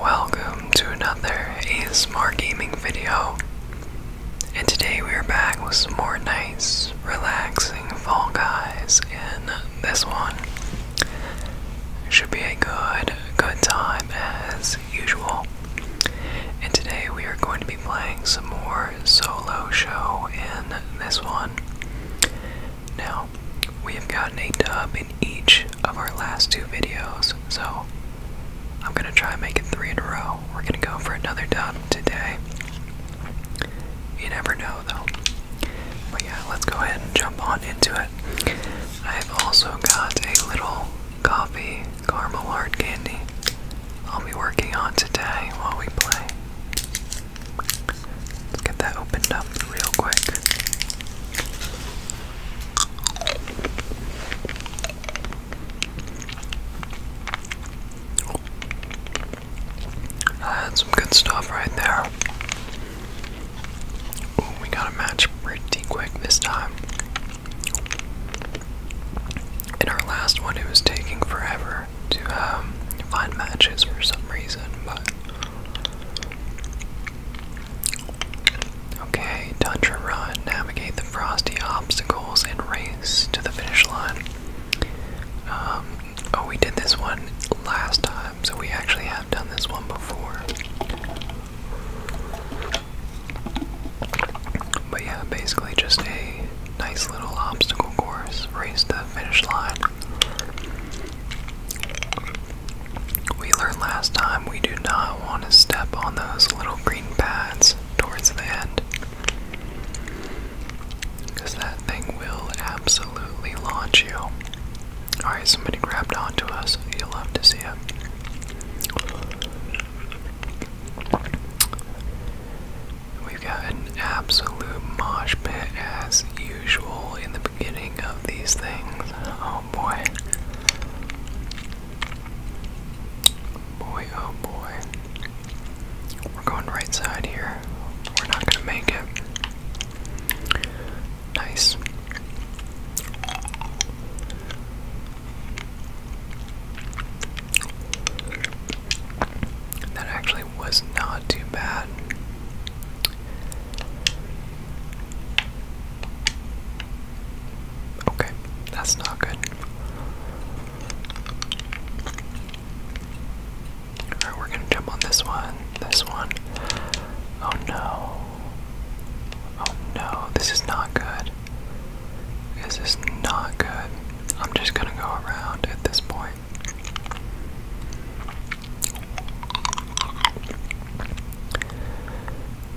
Welcome to another ASMR gaming video. And today we are back with some more nice, relaxing Fall Guys, and this one should be a good, good time as usual. And today we are going to be playing some more solo show in this one. Now, we have gotten a dub in each of our last two videos, so I'm gonna try and make it three in a row. We're gonna go for another dub today. You never know though. But yeah, let's go ahead and jump on into it. I've also got a little coffee caramel hard candy I'll be working on today while we play. Let's get that opened up real quick. I had some good stuff right there. we got a match pretty quick this time. In our last one, it was taking forever to um, find matches for some reason, but Okay, touch or run, navigate the frosty obstacles, and race to the finish line. Um, oh, we did this one last time, so we actually have done this one before. But yeah, basically just a nice little obstacle course, race to the finish line. We learned last time we do not want to step on those little green pads towards the end. Because that thing will absolutely launch you. Alright, somebody grabbed onto us. You'll love to see it. We've got an absolute mosh pit as usual in the beginning of these things. Oh boy. Boy, oh boy. We're going right side here. We're not going to make it. Nice. That actually was not too bad. Okay, that's not good. Alright, we're gonna jump on this one, this one. Oh no. Oh no, this is not good. This is not good. I'm just gonna go around at this point.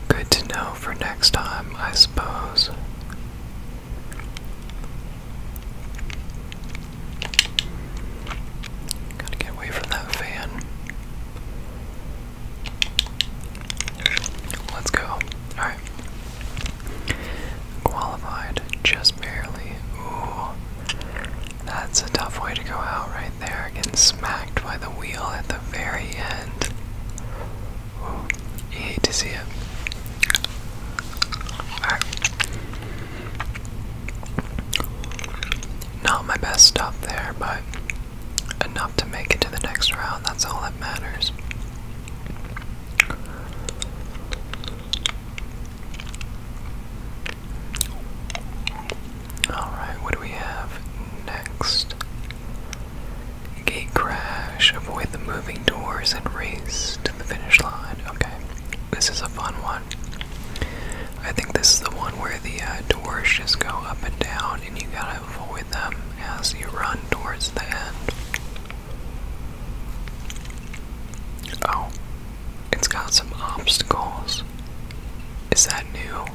Good to know for next time, I suppose. Gotta get away from that fan. Let's go. Alright. Qualified just barely. Ooh. That's a tough way to go out right right there, getting smacked by the wheel at the very end. you hate to see it. Not my best stop there, but enough to make it to the next round. That's all that matters. Alright, what do we have next? Gate crash, avoid the moving doors and race to the finish line. Okay, this is a fun one. I think this is the one where the uh, doors just go up and down, and you gotta avoid them as you run towards the end. Oh, it's got some obstacles. Is that new?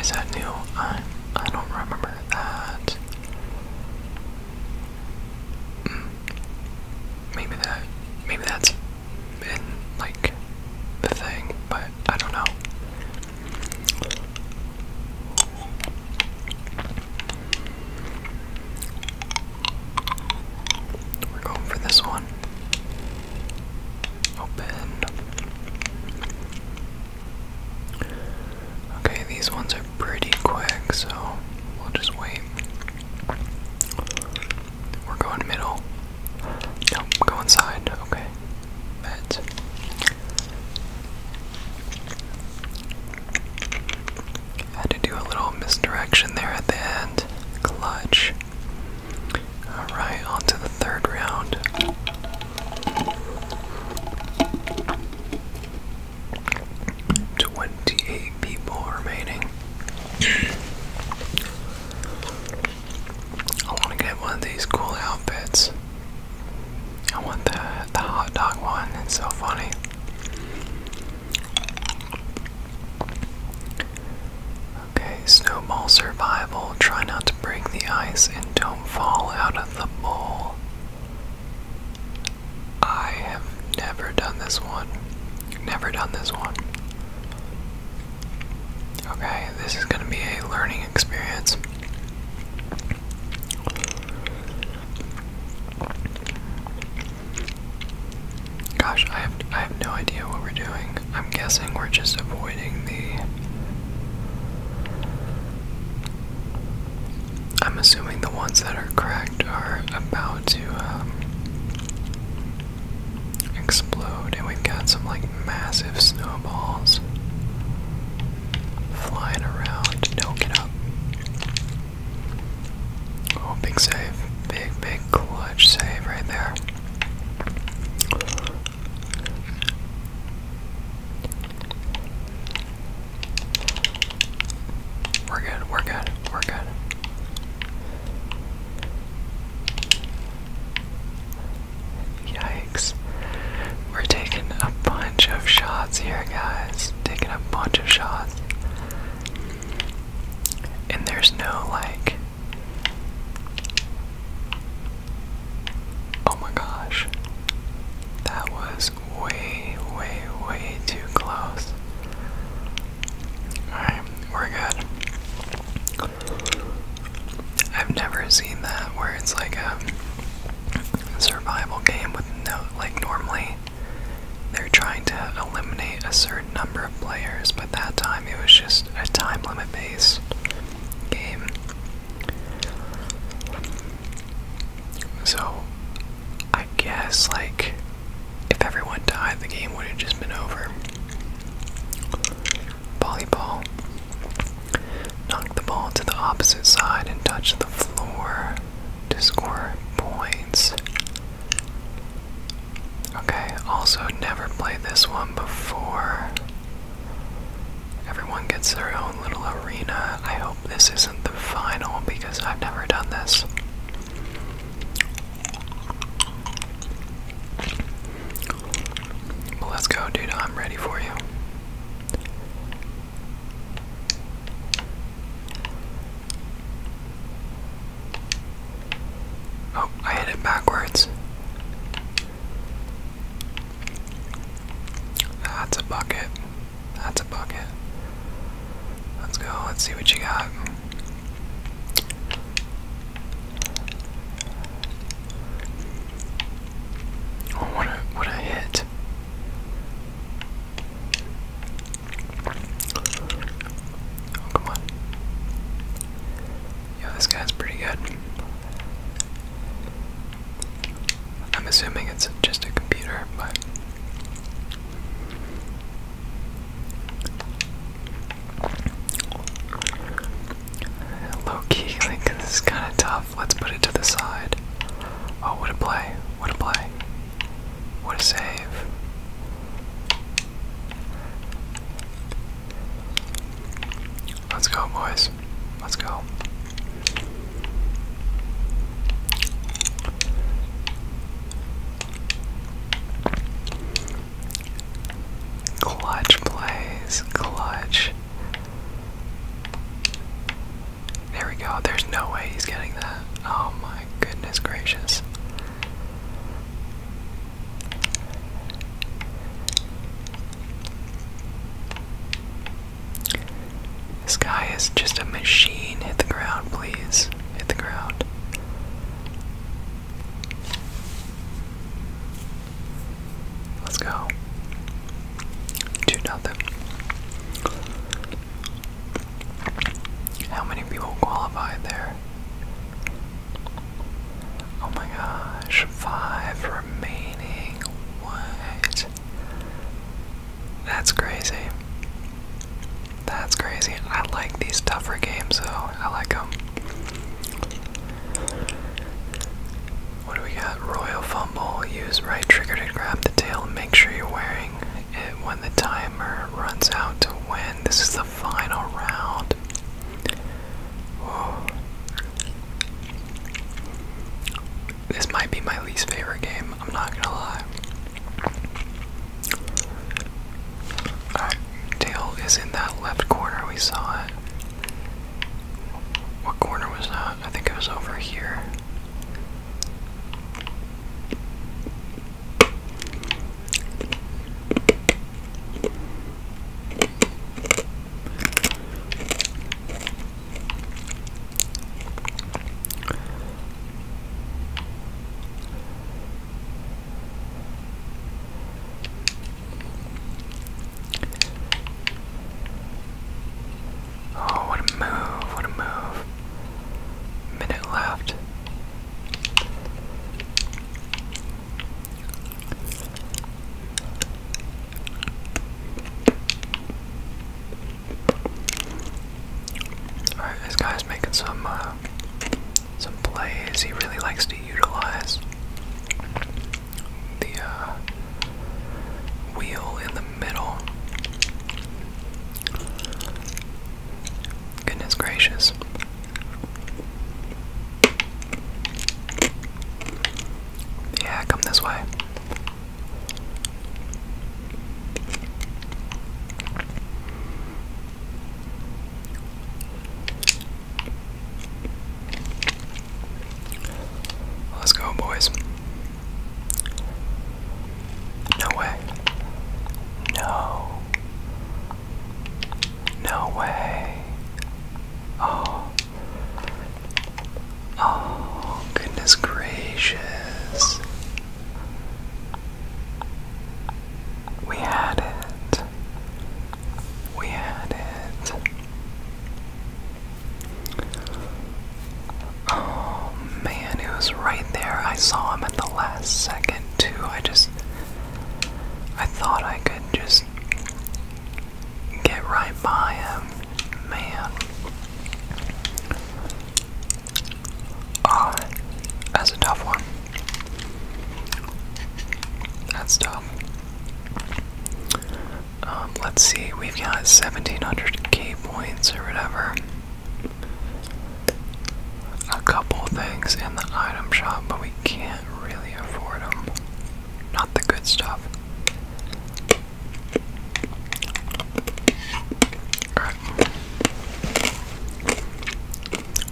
Is that new? I I don't remember that. Hmm. Maybe that maybe that's been like the thing, but I don't know. We're going for this one. Open. Okay, these ones are pretty quick, so we'll just wait. We're going middle. No, go inside. Okay. Bet. Had to do a little misdirection there at the end. Clutch. Alright, onto the third round. Twenty-eight people remaining. I want to get one of these cool outfits. I want the the hot dog one. It's so funny. Okay, snowball survival. Try not to break the ice and don't fall out of the bowl. I have never done this one. Never done this one. Okay, this is going to be a learning experience. Gosh, I have I have no idea what we're doing. I'm guessing we're just avoiding the. I'm assuming the ones that are cracked are about to um, explode, and we've got some like massive snowballs flying around. No, get up. Oh, big save. Big, big clutch save right there. We're good, we're good, we're good. Yikes. We're taking a bunch of shots here, guys. Taking a bunch of shots. And there's no like. Oh my gosh. That was way, way, way too close. Alright, we're good. I've never seen that where it's like a survival game with no, like, normally they're trying to eliminate a certain number of players, but that time it was just a time limit based game. So, I guess, like, if everyone died, the game would have just been over. Volleyball. Knock the ball to the opposite side and touch the floor to score points. Okay, also never played this one before. Everyone gets their own little arena. I hope this isn't the final because I've never done this. let's go, dude. I'm ready for you. Oh, I hit it backwards. That's a bucket. That's a bucket. Let's go. Let's see what you got. Oh, what a what a hit! Oh, come on. Yeah, this guy's pretty good. I'm assuming it's just a computer, but. Low key, like, this is kind of tough. Let's put it to the side. Oh, what a play! What a play! What a save! Let's go, boys. Let's go. Clutch plays. Clutch. There we go. There's no way he's getting that. Oh my goodness gracious. This guy is just a machine. Hit the ground, please. Hit the ground. Let's go. Do nothing. How many people qualified there? Oh my gosh, five remaining. What? That's crazy. That's crazy. I like these tougher games so I like them. What do we got? Royal Fumble. Use right trigger to grab the tail and make sure you're wearing when the timer runs out to win. This is the final round. This might be my least favorite game, I'm not gonna lie. Alright, is in that left corner, we saw it. What corner was that? I think it was over here. Oh, what a move, what a move. Minute left this guy's making some uh, some plays. He really likes to utilize the uh, wheel in the middle. Goodness gracious. Yeah, come this way. Let's go, boys. No way. No. No way. Oh. Oh, goodness gracious. We had it. We had it. Oh man, it was right there. I saw him at the last second, too. I just I thought I could just get right by him. Man. Oh, that's a tough one. That's tough. Um, let's see, we've got 1700k points or whatever a couple things in the item shop, but we can't really afford them. Not the good stuff.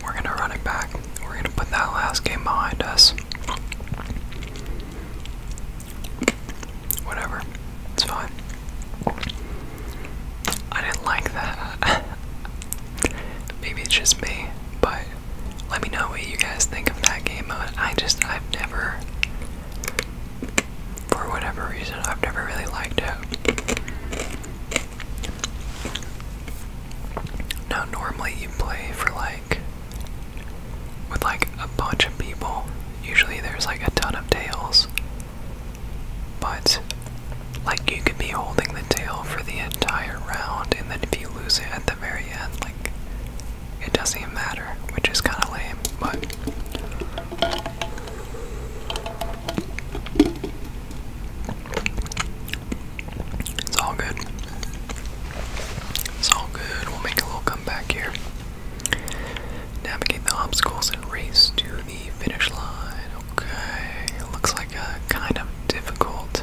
We're going to run it back. We're going to put that last game behind us. Whatever. It's fine. I didn't like that. Maybe it's just me, but let me know what you guys think of that game mode. I just, I've never, for whatever reason, I've never really liked it. Now, normally you play for like, with like a bunch of people. Usually there's like a ton of tails. But, like, you could be holding the tail for the entire round, and then if you lose it at the very end, like, it doesn't even matter, which is kind of lame, but. It's all good. It's all good. We'll make a little comeback here. Navigate the obstacles and race to the finish line. Okay, it looks like a kind of difficult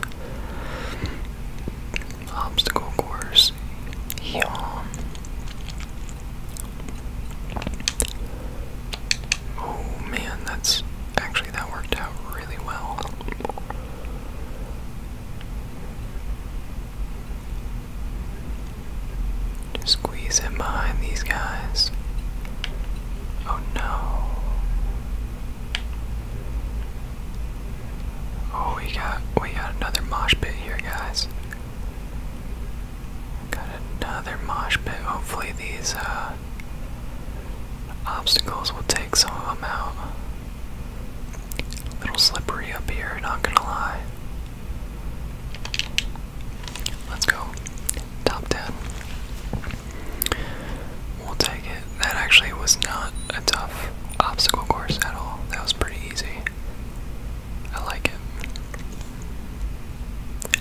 obstacle course. Yeah. Oh man, that's actually that worked out really well. Just squeeze in behind these guys. Oh no. Oh, we got we got another mosh pit here, guys. Got another mosh pit. Hopefully these uh, obstacles will take some of them out. A little slippery up here, not gonna lie. Let's go. Top 10. We'll take it. That actually was not a tough obstacle course at all. That was pretty easy. I like it.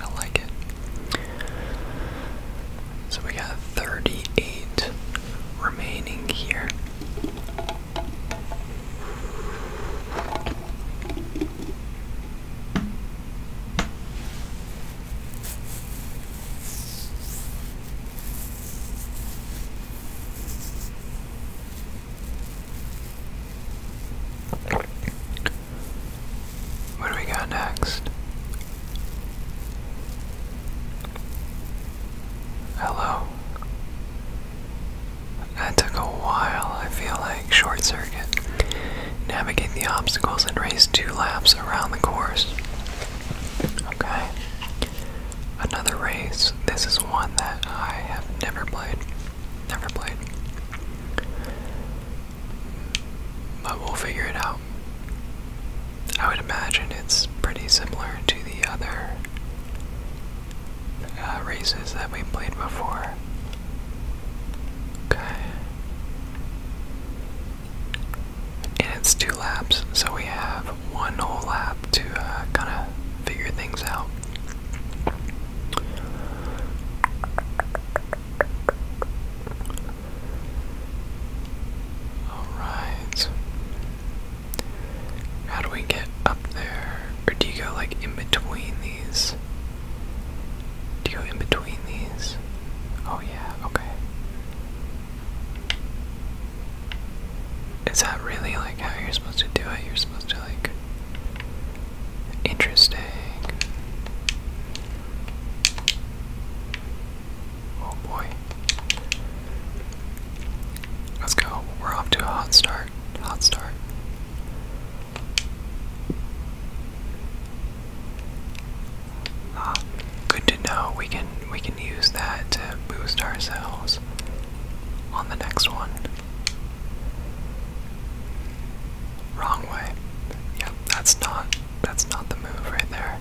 I like it. So we got 38 remaining here. What do we got next? Hello. That took a while, I feel like. Short circuit. Navigate the obstacles and race two laps around the course. Okay. Another race. This is one that I have never played. Never played. But we'll figure it out. I would imagine it's pretty similar to the other uh, races that we played before. Okay. And it's two laps, so we have one whole lap to uh, kind of figure things out. Alright. How do we get up there? Or do you go like in between these? Do you go in between these? Oh yeah, okay. Is that really like how you're supposed to do it? You're supposed to like interesting. Oh boy. Let's go. We're off to a hot start. Hot start good to know. We can we can use that to boost ourselves on the next one. Wrong way. Yep, that's not that's not the move right there.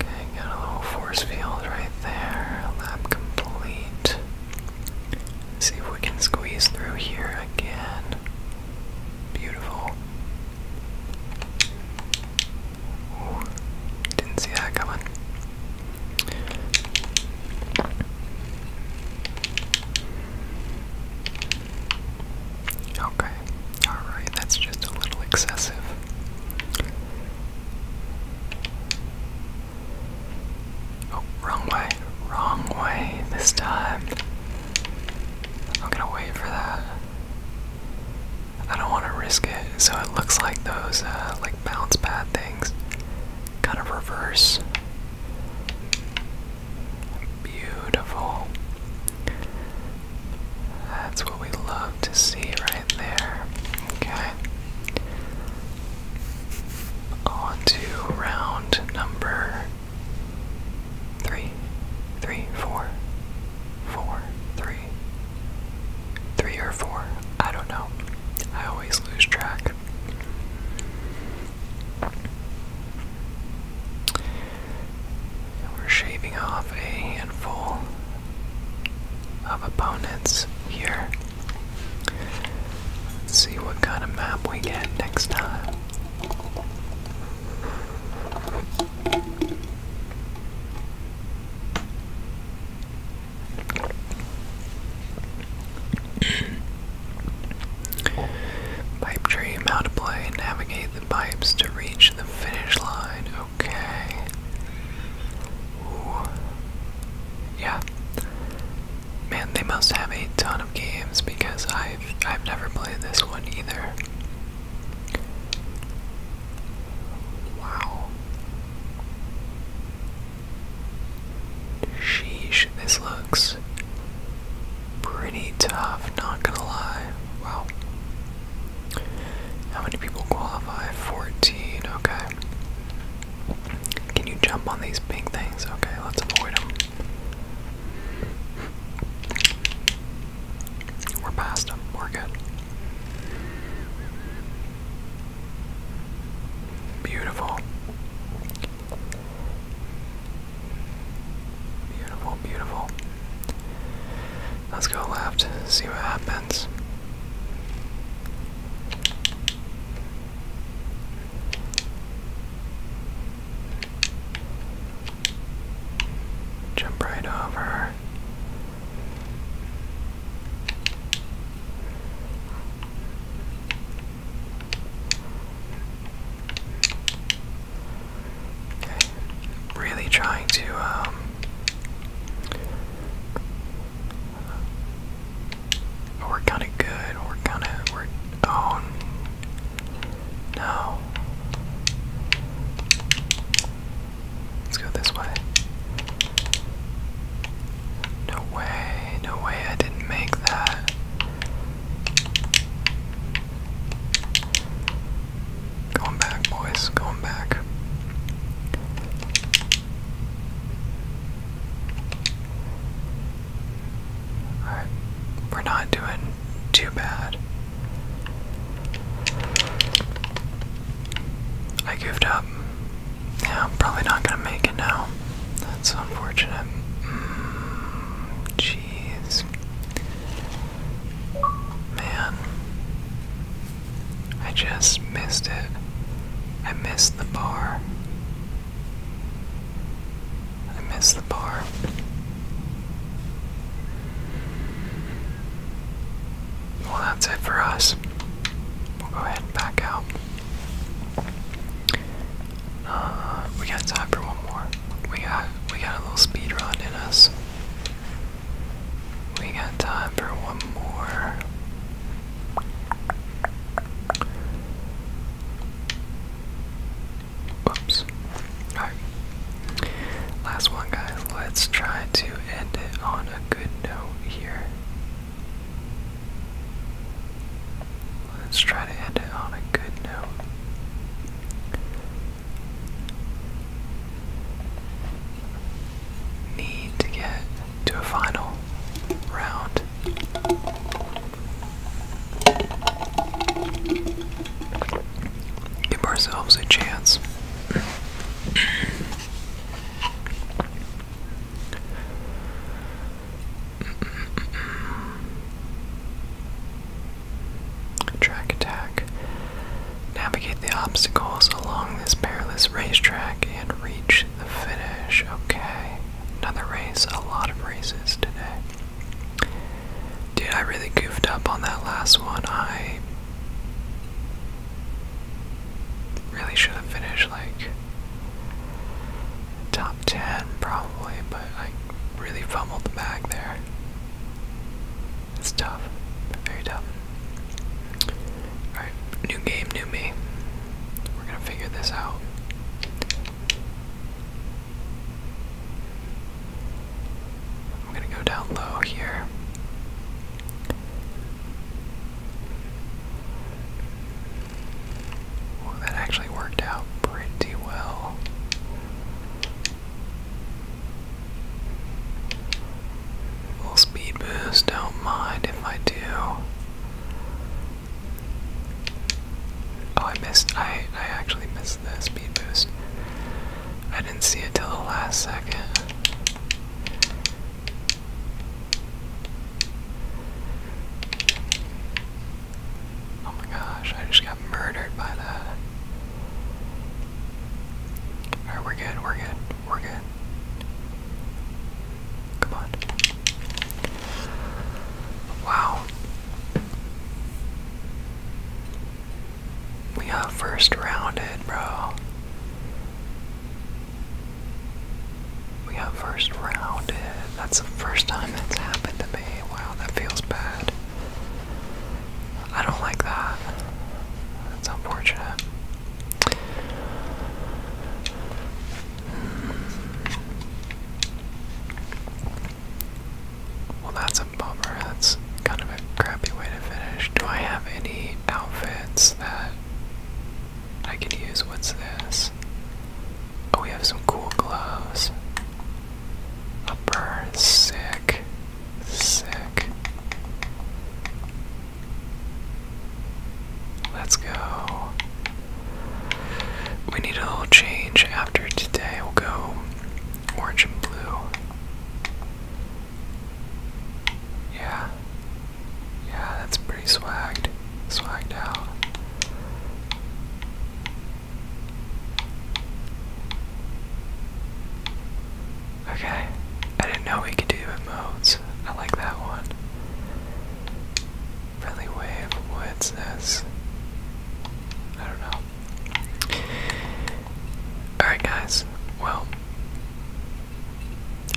Okay, got a little force field right there. Lap complete. See if we can squeeze through here again. Beautiful. didn't see that coming. Okay, alright, that's just a little excessive. Oh, wrong way. Wrong way this time. I'm gonna wait for that. I don't want to risk it, so it looks like those uh, like bounce pad things kind of reverse. Beautiful. That's what we love to see right there. Okay. On to round number three, three, four, four, three, three or four. I don't know. I always lose track. We're shaving off a handful of opponents here. Let's see what kind of map we get next time. Pipe dream, how to play navigate the pipes to reach the finish line. Okay. Yeah. Man, they must have a ton of games because I've I've never played this one either. Wow. Sheesh, this looks pretty tough, not gonna lie. Wow. How many people qualify? 14, okay. Can you jump on these pink things? Okay, let's avoid them. We're past them. We're good. Beautiful. Beautiful, beautiful. Let's go left, see what happens. Jump right over. Really trying to um, we're kind of good. We're kind of we're oh no. Let's go this way. No way, no way I didn't make that. Going back, boys, going back. Alright, we're not doing too bad. I goofed up. Yeah, I'm probably not gonna make it now. That's unfortunate. Mm, jeez. Man. I just missed it. I missed the bar. I miss the bar. Well, that's it for us. We'll go ahead and back out. Uh, we got time for one more. We got we got a little speed run in us. We got time for one more. Whoops. Alright. Last one, guys. Let's try to end it on a good note here. Let's try to end it on a good note. Need to get to a final round. Give ourselves a chance. Track attack. Navigate the obstacles along this perilous racetrack and reach the finish. Okay. Another race, a lot of races today. Dude, I really goofed up on that last one. I really should have finished like top 10 probably, but I really fumbled the bag there. It's tough, very tough. Alright, new game, new me. We're gonna figure this out. I'm gonna go down low here. that actually worked out pretty well. little speed boost, don't mind if I do. Oh, I missed. I I actually missed the speed boost. I didn't see it till the last second. Oh my gosh! I just got murdered by that. All right, we're good. We're good. We're good. Come on. Wow. We got first rounded, bro. We got first rounded. That's the first time that's happened to me. Wow, that feels bad. I don't like that. That's unfortunate. Well, that's a bummer. That's kind of a crappy way to finish. Do I have any outfits that I could use? What's this? Oh, we have some cool gloves. Upper, sick, sick. Let's go. We need a little change after today. We'll go orange and blue. Yeah. Yeah, that's pretty swagged. Swagged out. Okay. I didn't know we could do emotes. I like that one. Friendly wave, what's this? I don't know. Alright, guys, well,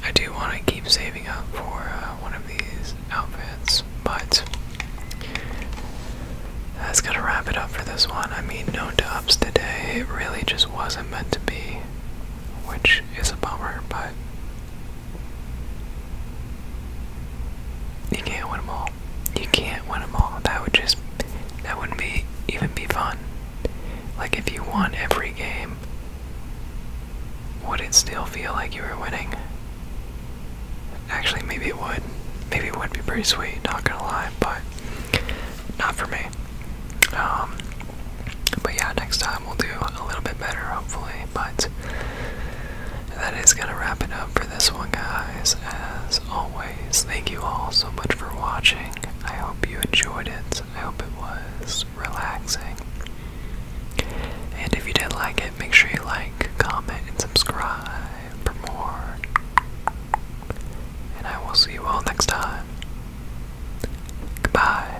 I do want to keep saving up for uh, one of these outfits, but that's gonna wrap it up for this one. I mean, no dubs today, it really just wasn't meant to be, which is a bummer, but you can't win them all. You can't win them all. That would just, that wouldn't be even be fun. Like if you won every game, would it still feel like you were winning? Actually, maybe it would. Maybe it would be pretty sweet, not gonna lie, but not for me. Um, but yeah, next time we'll do a little bit better, hopefully but that is going to wrap it up for this one, guys. As always, thank you all so much for watching. I hope you enjoyed it. I hope it was relaxing. And if you did like it, make sure you like, comment, and subscribe for more. And I will see you all next time. Goodbye.